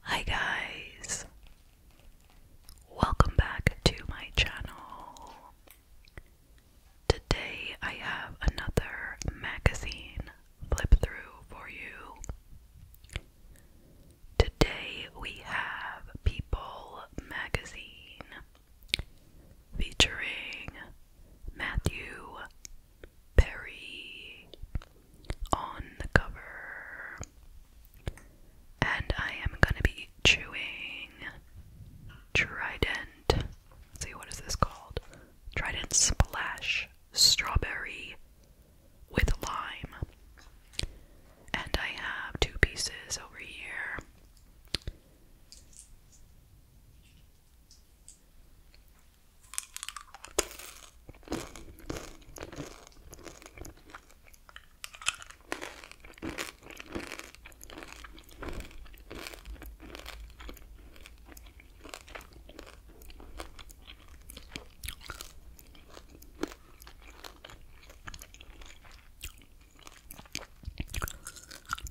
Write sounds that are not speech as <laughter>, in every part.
Hi guys! Welcome back to my channel. Today I have another magazine flip through for you. Today we have People Magazine featuring Matthew Perry on cover. And I am gonna be chewing Trident. Let's see, what is this called? Trident Splash Strawberry with Lime. And I have two pieces over here.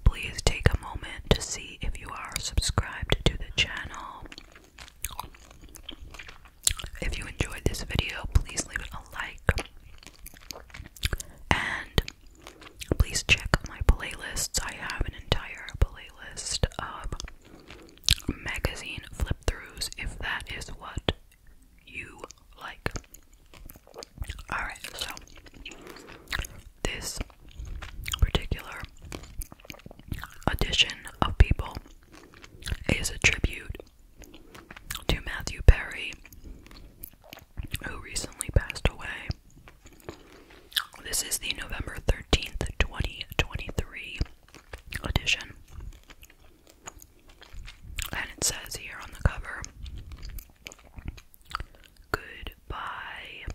Please take a moment to see if you are subscribed to the channel. If you enjoyed this video, please leave a like. And please check my playlists. I have an entire playlist of magazine flip throughs if that is what you like. Alright, so this particular edition of people is a tribute to Matthew Perry, who recently passed away. This is the November 13th, 2023 edition. And it says here on the cover Goodbye,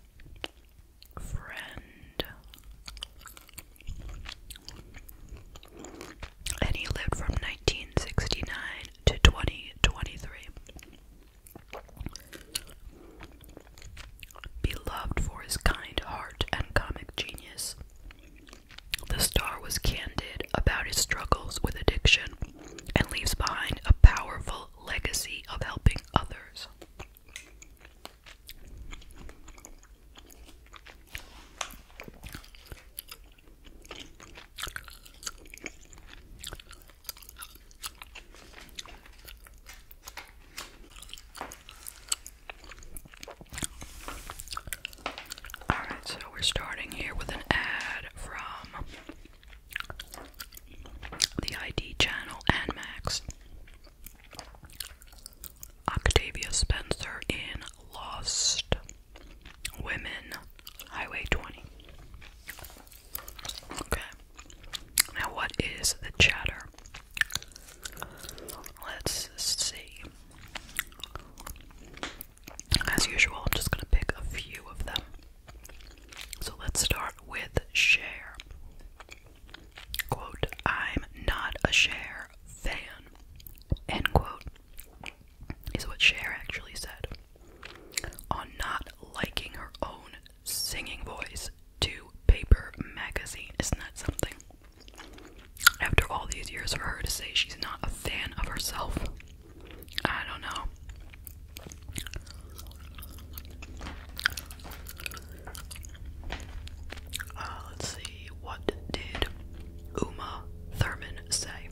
friend and he lived from 1969 to 2023. Beloved for his kind heart and comic genius, the star was candid about his struggles with addiction and leaves behind a powerful legacy of helping others. Alright, so we're starting here with an ad from the ID channel and Max. Octavia Spencer in Lost Women Highway 20. Okay. Now, what is the chatter? Let's see. As usual, I'm just going to pick a few of them. So let's start with share. Quote, I'm not a share fan. End quote. Is what Cher actually said on not liking her own singing voice to Paper Magazine. Isn't that something? After all these years for her to say she's not a fan of herself, I don't know. Uh, let's see, what did Uma Thurman say?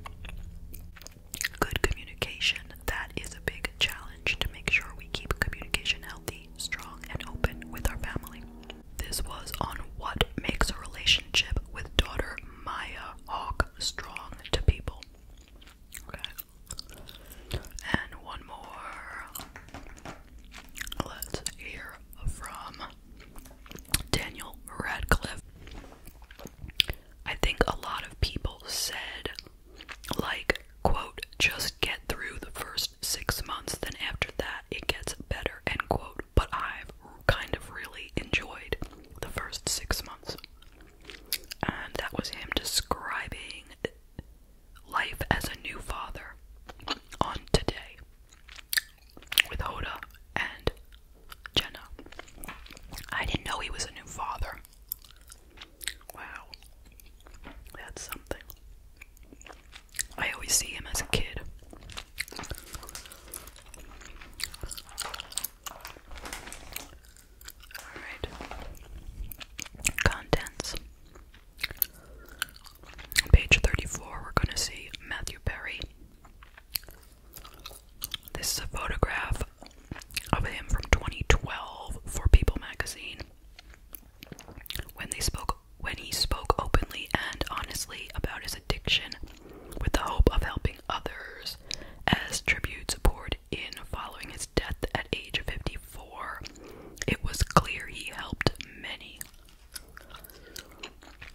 Good communication. That is a big challenge to make sure we keep communication healthy, strong, and open with our family. This was on what makes a relationship with daughter Maya Hawk strong to people. Okay. And one more. Let's hear from Daniel Radcliffe. I think a lot of people said, like, quote, just get through the first six months, then after that it gets better, end quote. But I've kind of really enjoyed the first six months. And that was him describing life as a new father on today with Hoda and Jenna. I didn't know he was a new father. Wow. That's something. I always see him as a kid. Alright. Contents. Page 34, we're going to see Matthew Perry. This is a photograph of him from 2012 for People magazine. When they spoke when he spoke openly and honestly about his addiction with the hope of helping others as tributes poured in following his death at age of 54, it was clear he helped many.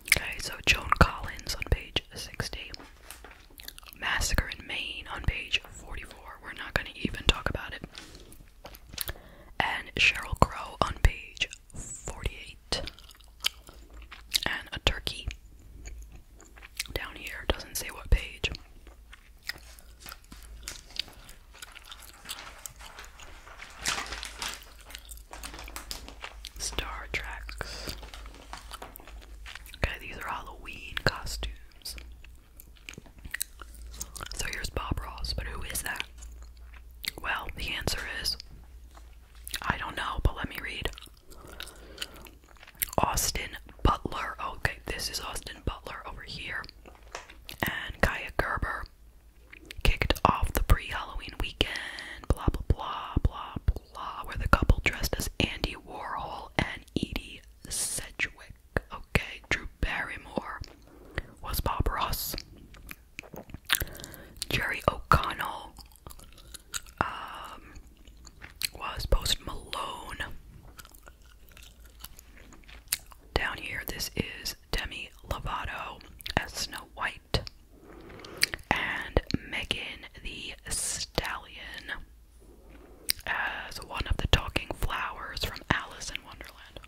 Okay, so Joan Collins on page 60. Massacre in Maine on page 44. We're not going to even talk about it. And Cheryl Crow on page 48. And a turkey down here. Doesn't say what page. Star Trek. Okay, these are Halloween costumes. So here's Bob Ross, but who is that? Well, the answer is I don't know, but let me read. Austin Butler. Okay, this is Austin Butler over here. And Kaya Gerber kicked off the pre Halloween weekend, blah, blah, blah, blah, blah, where the couple dressed as Andy Warhol and Edie Sedgwick. Okay, Drew Barrymore was Bob Ross. Jerry O'Connell um, was Post Malone. Down here, this is Demi Lovato as Snow White and Megan the Stallion as one of the talking flowers from Alice in Wonderland.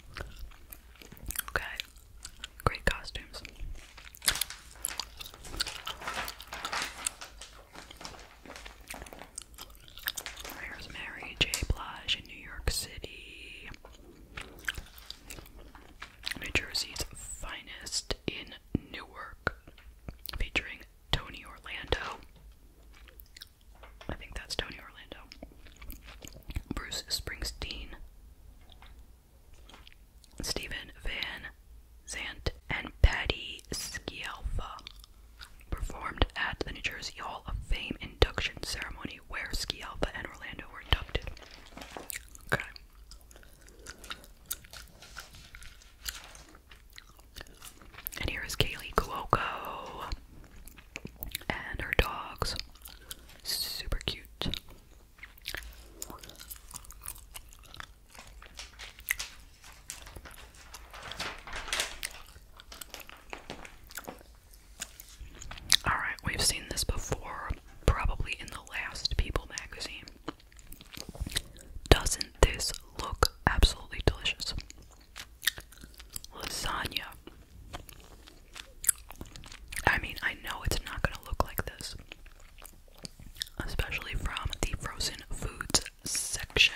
Okay, great costumes. There's Mary J. Blige in New York City. New Jersey's finest in Newark, featuring Tony Orlando. I think that's Tony Orlando. Bruce Springsteen, Stephen Van Zant, and Patti Scialfa performed at the New Jersey Hall of Fame induction ceremony where Scialfa and Orlando were inducted. Okay. And here is Kaylee Cuoco and her dogs. Super cute. Alright, we've seen this before, probably in the last People magazine. Doesn't this look absolutely delicious? Lasagna. I mean, I know it's not going to look like this, especially from the frozen foods section.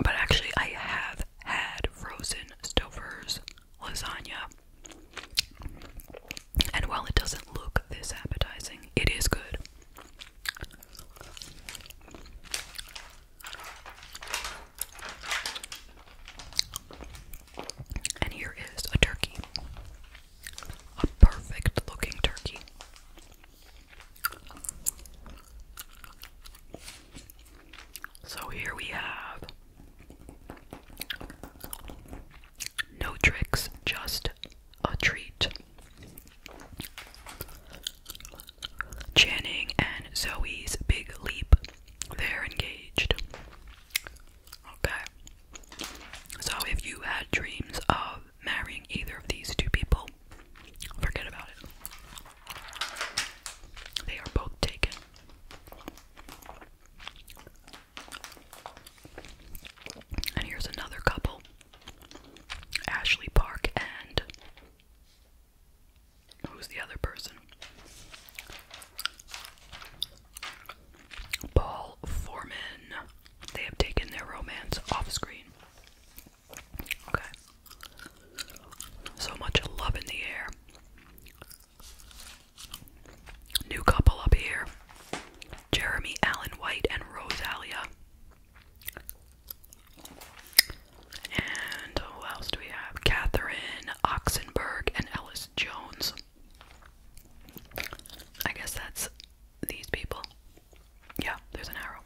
But actually, I have had frozen stovers lasagna. And while it doesn't look this appetizing, it is good. And here is a turkey. A perfect looking turkey. So here we have no tricks, just a treat. Channing and Zoe's big leap. They're engaged. Okay. So if you had dreams of marrying either of these two people, forget about it. They are both taken. And here's another couple Ashley Park and. Who's the other person? Paul Foreman. They have taken their romance off screen. Okay. So much love in the air. New couple up here Jeremy Allen White and Rosalia. And who else do we have? Catherine Oxenberg and Ellis Jones. I guess that's these people. Yeah, there's an arrow.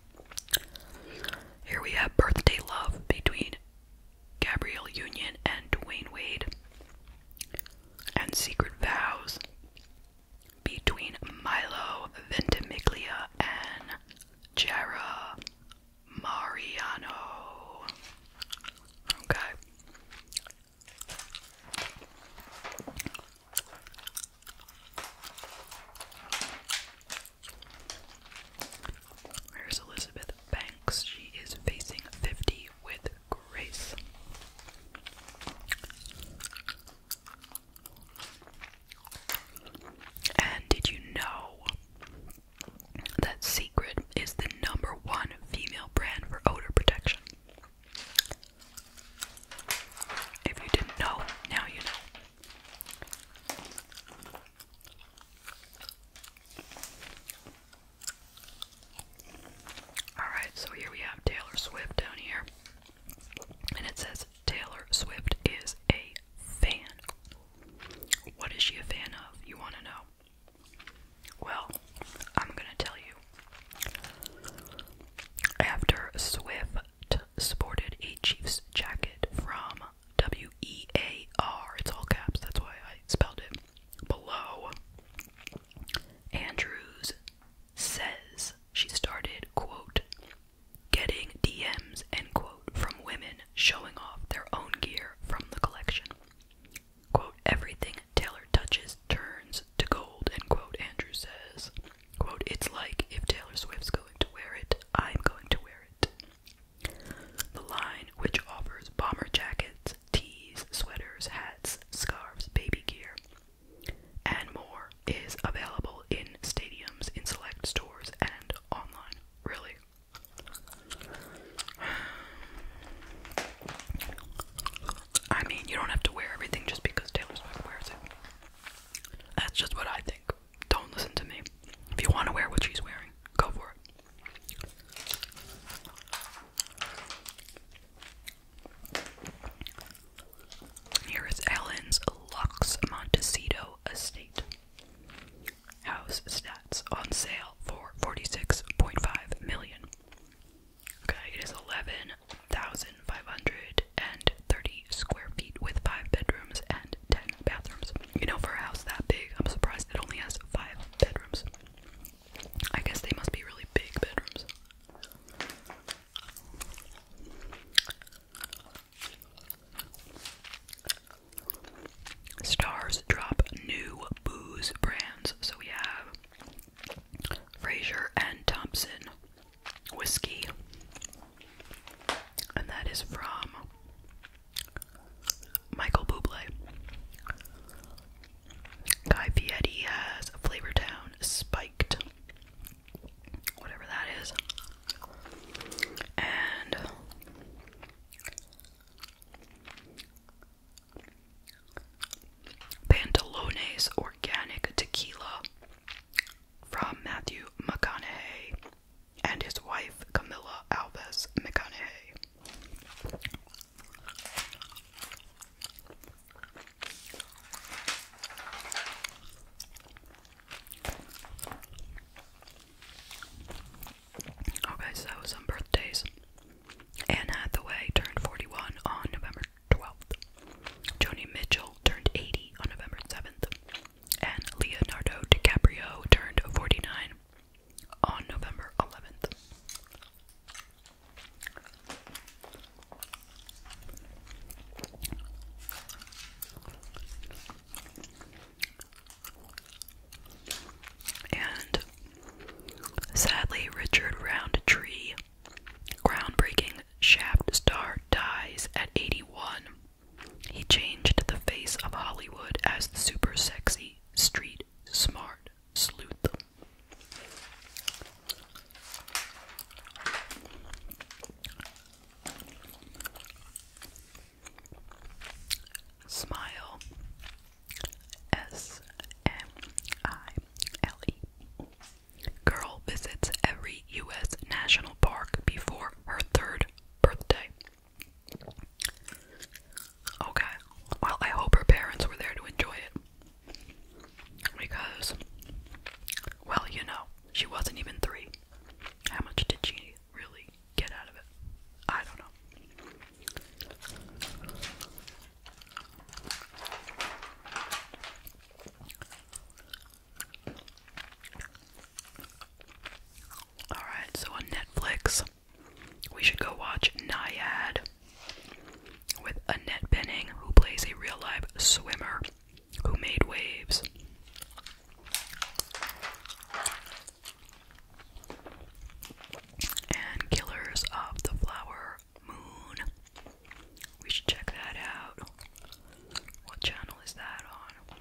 Here we have Birthday Love between Gabriel Union and Dwayne Wade, and Secret Vows between Milo Ventimiglia and Jara Mariano. Okay. Here's Elizabeth Banks. She is facing 50 with grace. And did you know that Secret is the number one female brand for odor protection? If you didn't know, now you know. Alright, so here we have Taylor Swift down here. And it says Taylor Swift is a fan. What is she a fan of? You want to know? Well, I'm going to tell you. After Swift sported a Chiefs jacket from W E A R, it's all caps, that's why I spelled it below, Andrews says she started, quote, getting DMs, end quote, from women showing off their own gear from the collection. Quote, everything Taylor touches turns to gold, end quote, Andrew says. Quote, it's like if Taylor Swift's going to wear it, I'm going to wear it. The line, which offers bomber jackets, tees, sweaters, hats, scarves, baby gear, and more, is available in stadiums, in select stores, and online. Really? <sighs> I mean, you don't have to wear everything just because Taylor Swift wears it. That's just what I think. Don't listen to me. If you want to wear what she's wearing, go for it. Here is Ellen's Lux Montecito estate. House stats on sale for forty-six point five million. Okay, it is eleven thousand five hundred and thirty square feet with five bedrooms and ten bathrooms. You know, for a house that big, I'm surprised it only has five bedrooms. I guess they must be really big bedrooms. Stars drop new booze brands. So we have Fraser and Thompson whiskey. And that is from Michael Bublé. Guy Fieri has Town Spiked. Whatever that is. And Pantalones Organic Tequila from Matthew McConaughey and his wife Camilla Alves McConaughey. Okay, so some birthdays. Anne Hathaway turned 41 on November 12th. Joni Mitchell turned 80 on November 7th. And Leonardo DiCaprio turned 49 on November 11th. And sadly, Richard Roundtree, groundbreaking shaft star, dies at 81. He changed the face of Hollywood as super sexy street street smart sleuth. Smile S M I L E. Girl visits every U.S. national park before her third birthday. Okay. Well, I hope her parents were there to enjoy it. Because, well, you know, she wasn't even three. How much did she really get out of it? I don't know. Alright, so on Netflix, we should go watch Naiad with Annette Benning, who plays a real life swimmer who made waves. And Killers of the Flower Moon. We should check that out. What channel is that on?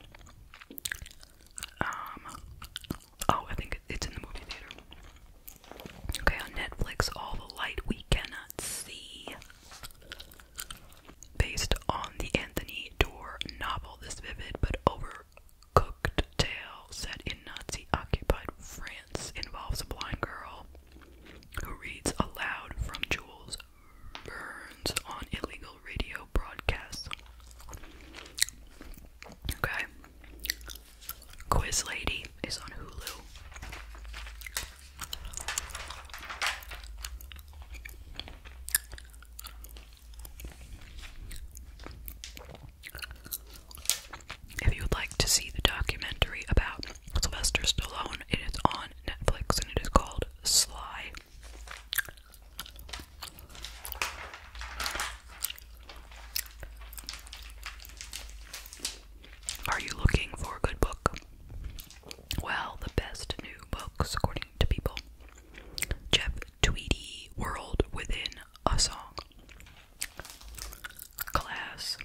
Um, Oh, I think it's in the movie theater. Okay, on Netflix, All the Light We Cannot See. Based on the Anthony Doerr novel, this vivid but overcooked tale set in Nazi occupied France involves a blind girl who reads aloud from Jules Burns on illegal radio broadcasts. Okay. Quiz Lady is on Hulu. If you would like to see the documentary about Sylvester Stallone, it is on Netflix and it is called Sly. Are you looking for a good book? Well, the best new books, according to people. Jeff Tweedy, World Within a Song. Class.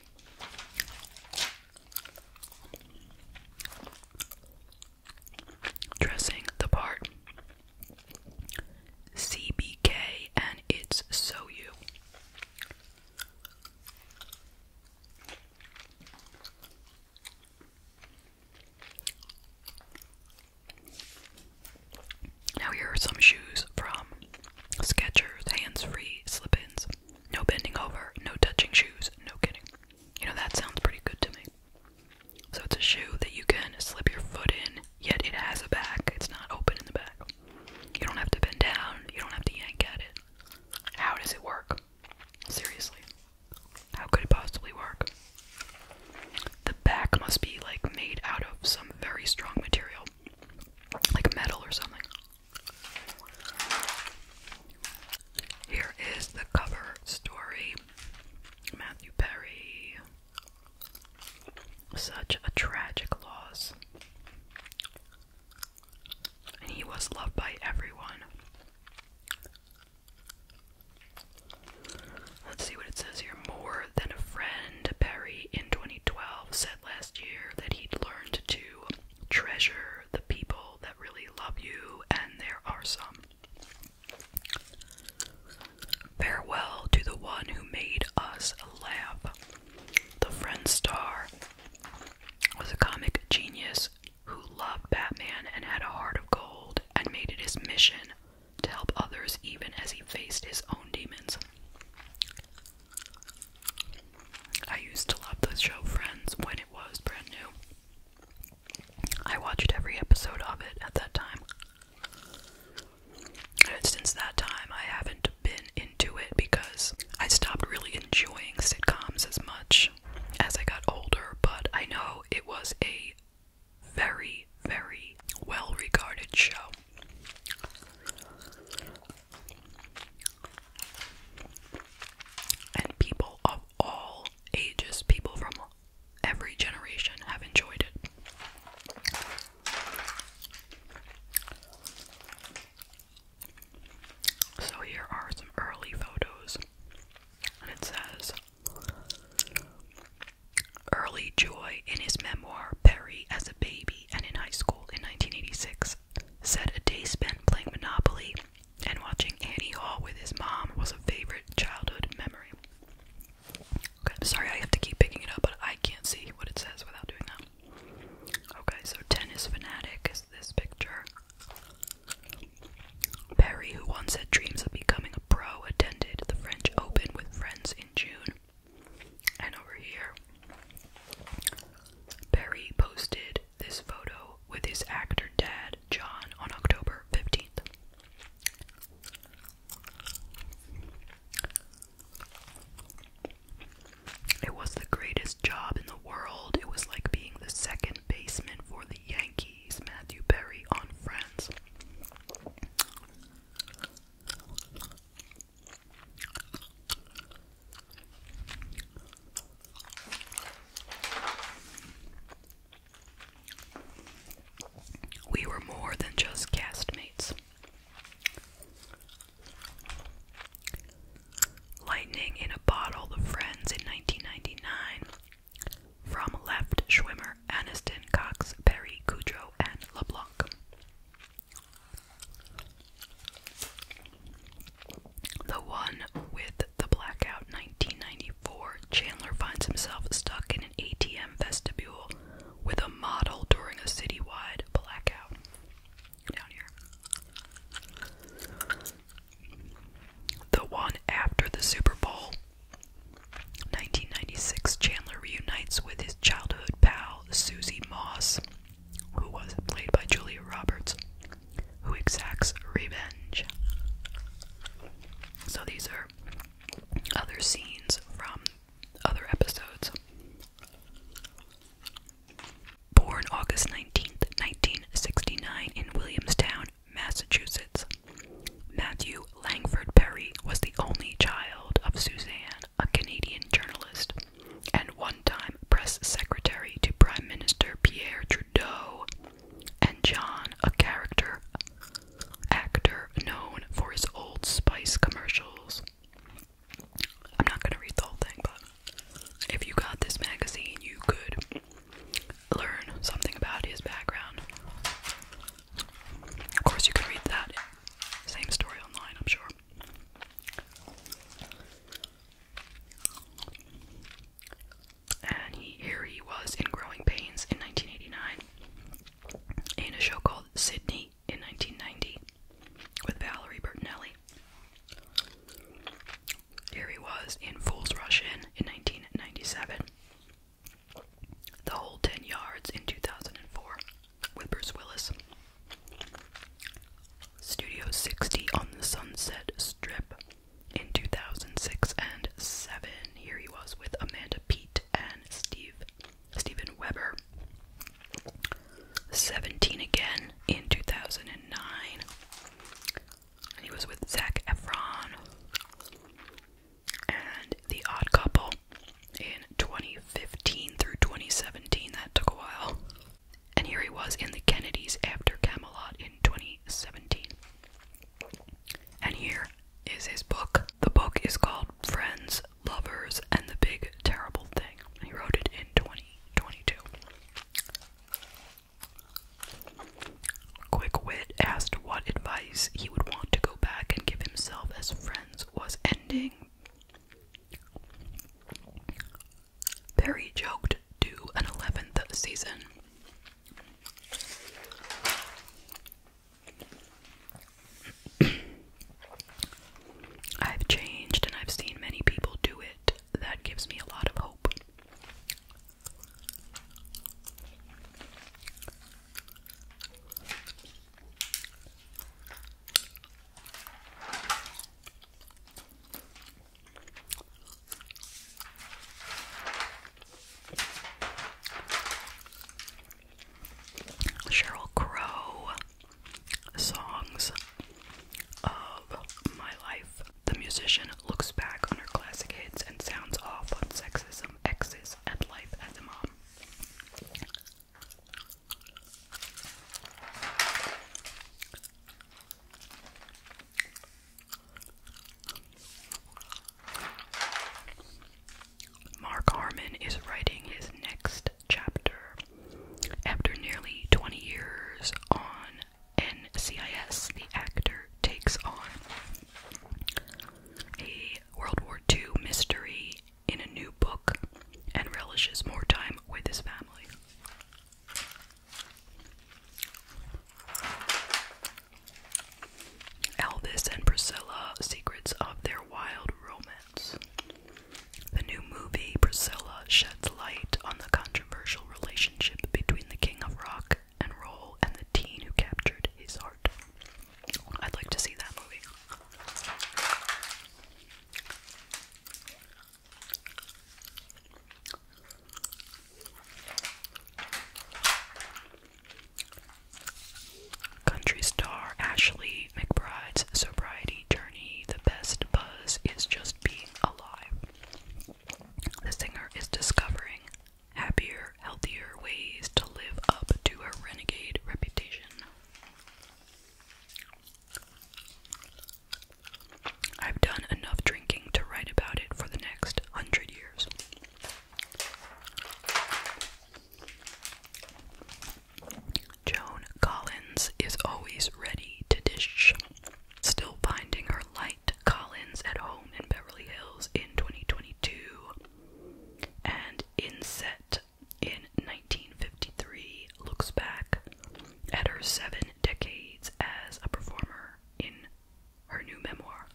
Dressing the Part. CBK and it's so you. Now here are some shoes from Skechers, hands-free slip-ins, no bending over, no touching shoes, no kidding. You know that sounds pretty good to me. So it's a shoe that you can slip your foot in yet it has a back. It's not open in the back. You don't have to bend down, you don't have to yank at it. How does it work? Seriously. How could it possibly work? The back must be like made out of some very strong material, like metal or something. Here is the cover story Matthew Perry, such a tragic loss. he was loved by everyone. Let's see what it says here. More than a friend, Perry in 2012 said last year that he'd learned to treasure the people that really love you, and there are some. Farewell to the one who made us laugh. The Friend Star was a comic genius who loved Batman and had a heart of gold and made it his mission to help others even as he faced his own demons. I used to love the show Friends when it was brand new. I watched every episode of it at that time since that time, I haven't been into it because I stopped really enjoying sitcoms as much as I got older, but I know it was a very, very well regarded show. And people of all ages, people from every generation have enjoyed it. So here are some early photos, and it says Early Joy in his memoir, Perry as a Baby and in High School in 1986, said a day spent playing Monopoly and watching Annie Hall with his mom was a favorite childhood memory. Okay, I'm sorry I have to keep picking it up, but I can't see what it says without doing that. Okay, so tennis fanatic is this picture. Perry, who once had dreams of becoming a pro, attended the French Open with friends in June. And over here, Perry posted this photo with his actor dad, John, on October 15th. It was the greatest job in the world. It was like being the second baseman for the Yankees, Matthew Berry on Friends. We were more than just castmates. Lightning in a Bottle, The Friends in 1999, From Left, Schwimmer, Aniston, Cox, Perry, Cujo, and LeBlanc. The One with the Blackout, 1994, Chandler finds himself stuck in ATM vestibule with a model during a citywide blackout. The one after the Super Bowl. 1996, Chandler reunites with his childhood pal, Susie Moss, who was played by Julia Roberts, who exacts revenge. So these are other scenes from other episodes. Born August 19th, 1969, in Williamstown, Massachusetts, Matthew Langford Perry was the only child of Suzanne, a Canadian journalist, and one time press secretary to Prime Minister Pierre Trudeau, and John, a character actor known for his Old Spice commercials. I'm not gonna read the whole thing, but if you got this magazine, you could learn something about his background. Of course, you can read that same story online, I'm sure. And here he was in Growing Pains in 1989 in a show called Sydney in 1990 with Valerie Bertinelli. Here he was in Fools Rush In in 1997. The Whole 10 Yards in 2004 with Bruce Willis. Studio 60 on the Sunset Strip in 2006 and 7. Here he was with Amanda Peet and Steve Stephen Weber. 17 again in 2009. And he was with Zach Efron. And The Odd Couple in 2015 through 2017. That took a while. And here he was in The Kennedys after Camelot in 2017. And here is his book the book is called Friends, Lovers, and the Big Terrible Thing. He wrote it in 2022. Quick Wit asked what advice he would want to go back and give himself as Friends was ending. Perry joked, Do an 11th season. I've changed and I've seen many people do it. That gives me a lot of hope. Cheryl Crow songs of my life. The musician looks back on her classic hits and sounds off on sexism, exes, and life as a mom. Mark Harmon is writing his next chapter after nearly 20 years on NCIS. The actor takes on a World War II mystery in a new book and relishes more time with his family. Elvis and Priscilla Secrets of Their Wild Romance. The new movie, Priscilla, sheds light on the controversial relationship between the king of rock and roll and the teen who captured his heart. I'd like to see that movie. Country star Ashley McBride's sobriety journey. The best buzz is just being alive. The singer is discovering happier, healthier ways to live up to her renegade reputation. I've done enough drinking to write about it for the next hundred years. Joan Collins is always ready to dish. Still finding her light, Collins at home in Beverly Hills in 2022 and Inset in 1953 looks back at her seven decades as a performer in her new memoir.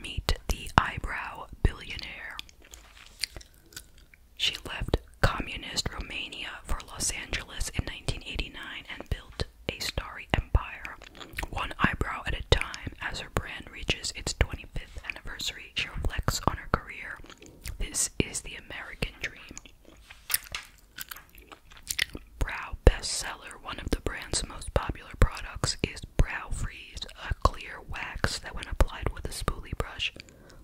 Meet the eyebrow billionaire. She left communist Romania for Los Angeles in 1989 and built a starry empire, one eyebrow at a time. As her brand reaches its 25th anniversary, she reflects on her career. This is the American dream. Brow bestseller, one of the brand's most popular products, is brow freeze, a clear wax that, when applied with a spoolie brush,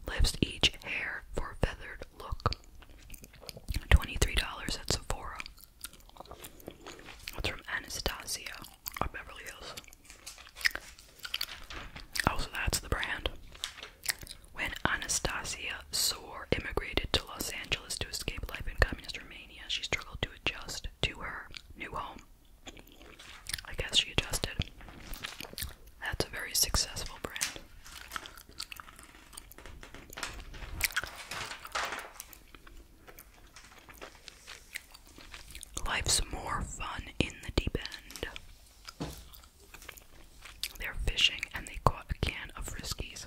lifts each hair for a feathered look. $23 at Sephora. It's from Anastasia of Beverly Hills. Oh, so that's the brand. When Anastasia Sore immigrated to Los Angeles to escape life in communist Romania, she struggled to adjust to her new home. I guess she adjusted. That's a very successful brand. Life's more fun in the deep end. They're fishing and they caught a can of Friskies.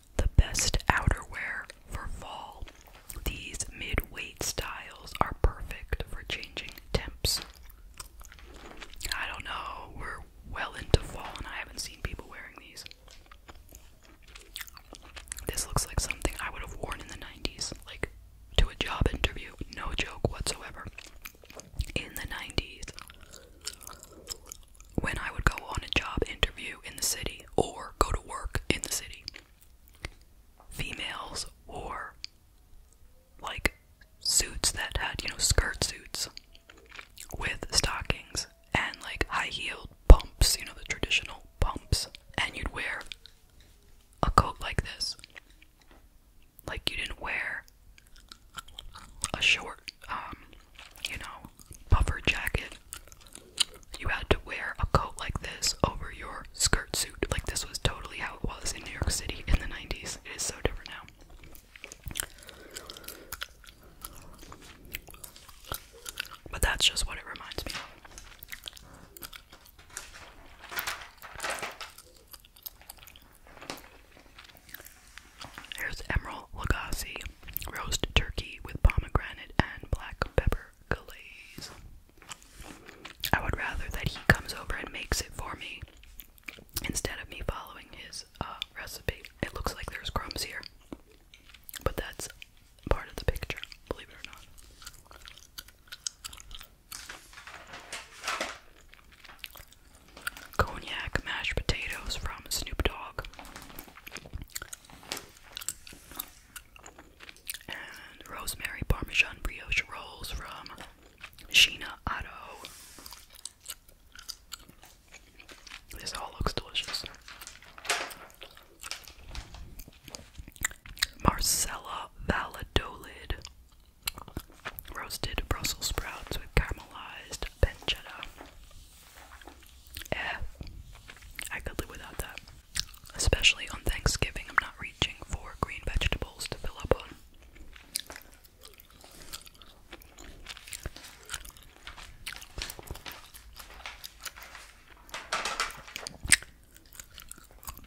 The best outerwear for fall. These mid-weight styles are perfect for changing temps. I don't know, we're well into fall and I haven't seen people wearing these. This looks like something I would have worn in the 90s, like to a job interview, no joke whatsoever. In the 90s when I would go on a job interview in the city or go to work in the city. Females wore like suits that had, you know, skirt suits with stockings and like high heeled pumps, you know, the traditional pumps. And you'd wear a coat like this. Like you didn't wear a short, um, you know, puffer jacket. You had to wear a coat like this over your skirt suit. Like, this was totally how it was in New York City in the 90s. It is so different now. But that's just what it reminds me of. Here's Emerald Lagasse roast turkey with pomegranate and black pepper glaze. I would rather that he comes over and makes it for me instead of me following his uh, recipe. It looks like there's crumbs here, but that's part of the picture, believe it or not. Cognac mashed potatoes from Snoop Dogg rosemary parmesan brioche rolls from Sheena Otto. This all looks delicious. Marcella Valladolid. Roasted Brussels sprouts with caramelized pancetta. Eh, I could live without that. Especially on Thanksgiving, I'm not reaching for green vegetables to fill up on.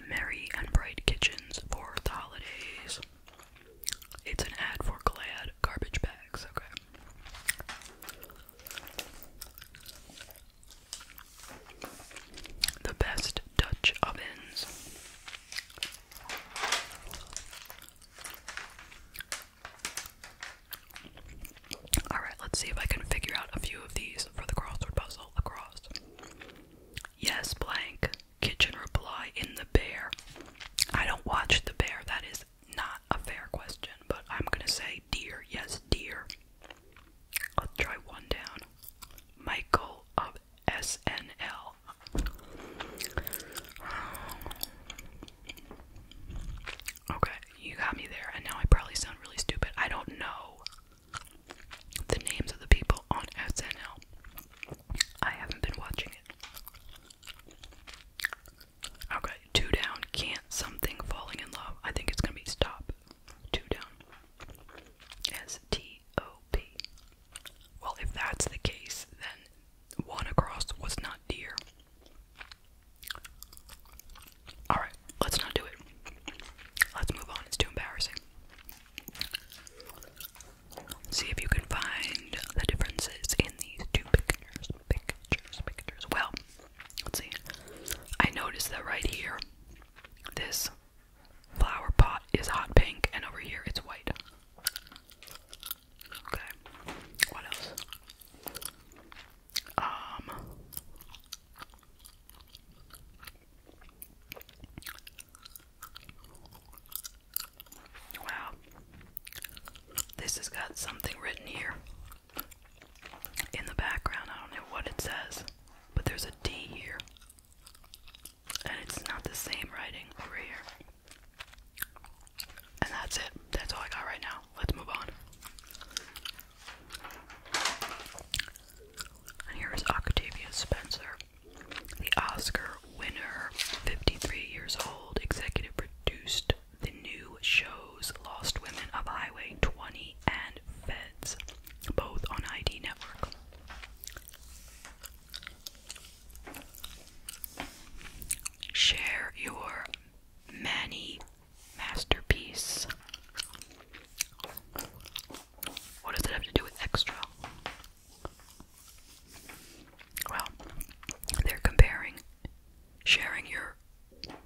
Merry and Bright Kitchens for the holidays. It's an ad for Glad garbage bags, okay. The best Dutch ovens. Alright, let's see if I can figure out a few of these for the crossword puzzle across. Yes, blank. Kitchen reply in the bear. I don't watch the bear, that is not a fair question, but I'm gonna say dear, Yes, dear. I'll try one down. Michael of SNL. Okay, you got me there, and now I probably sound really stupid. I don't know the names of the people on SNL. I haven't been watching it. Okay, two down. Can't something falling in love? I think it's gonna be stop. Two down. S T O P. Well, if that's the case, then one across was not deer. Alright, let's not do it. Let's move on. It's too embarrassing. See if you can find the differences in these two pictures. Pictures, pictures. Well, Let's see. I noticed that right here, this flower pot is hot pink, and over here it's white. Okay. What else? Um. Wow. This has got something written here in the background. I don't know what it says, but there's a D here. And it's not the same writing over here. And that's it. That's all I got right now. Let's move on. And here is Octavia Spencer, the Oscar winner, 53 years old, executive produced the new shows Lost Women of Highway 20 and Feds, both on ID Network. Share your Manny masterpiece. What does it have to do with extra? Well, they're comparing sharing your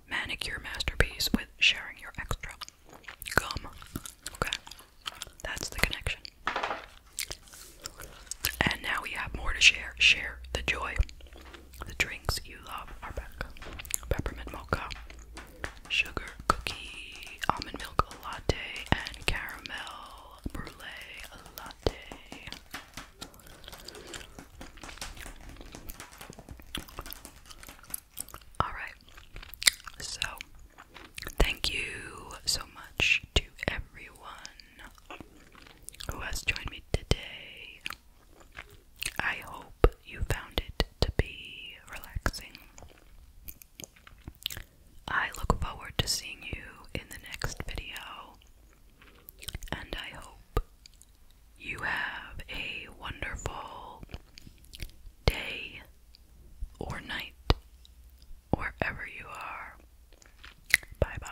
manicure masterpiece with sharing your extra gum. Okay, that's the connection. And now we have more to share. Share the joy. The drinks you love are back peppermint mocha, sugar cookie, almond milk latte, and caramel brulee latte. Alright, so thank you so much to everyone who has joined me today. I hope you found it to be relaxing. I look forward to seeing you in the next video, and I hope you have a wonderful day or night or wherever you are. Bye bye.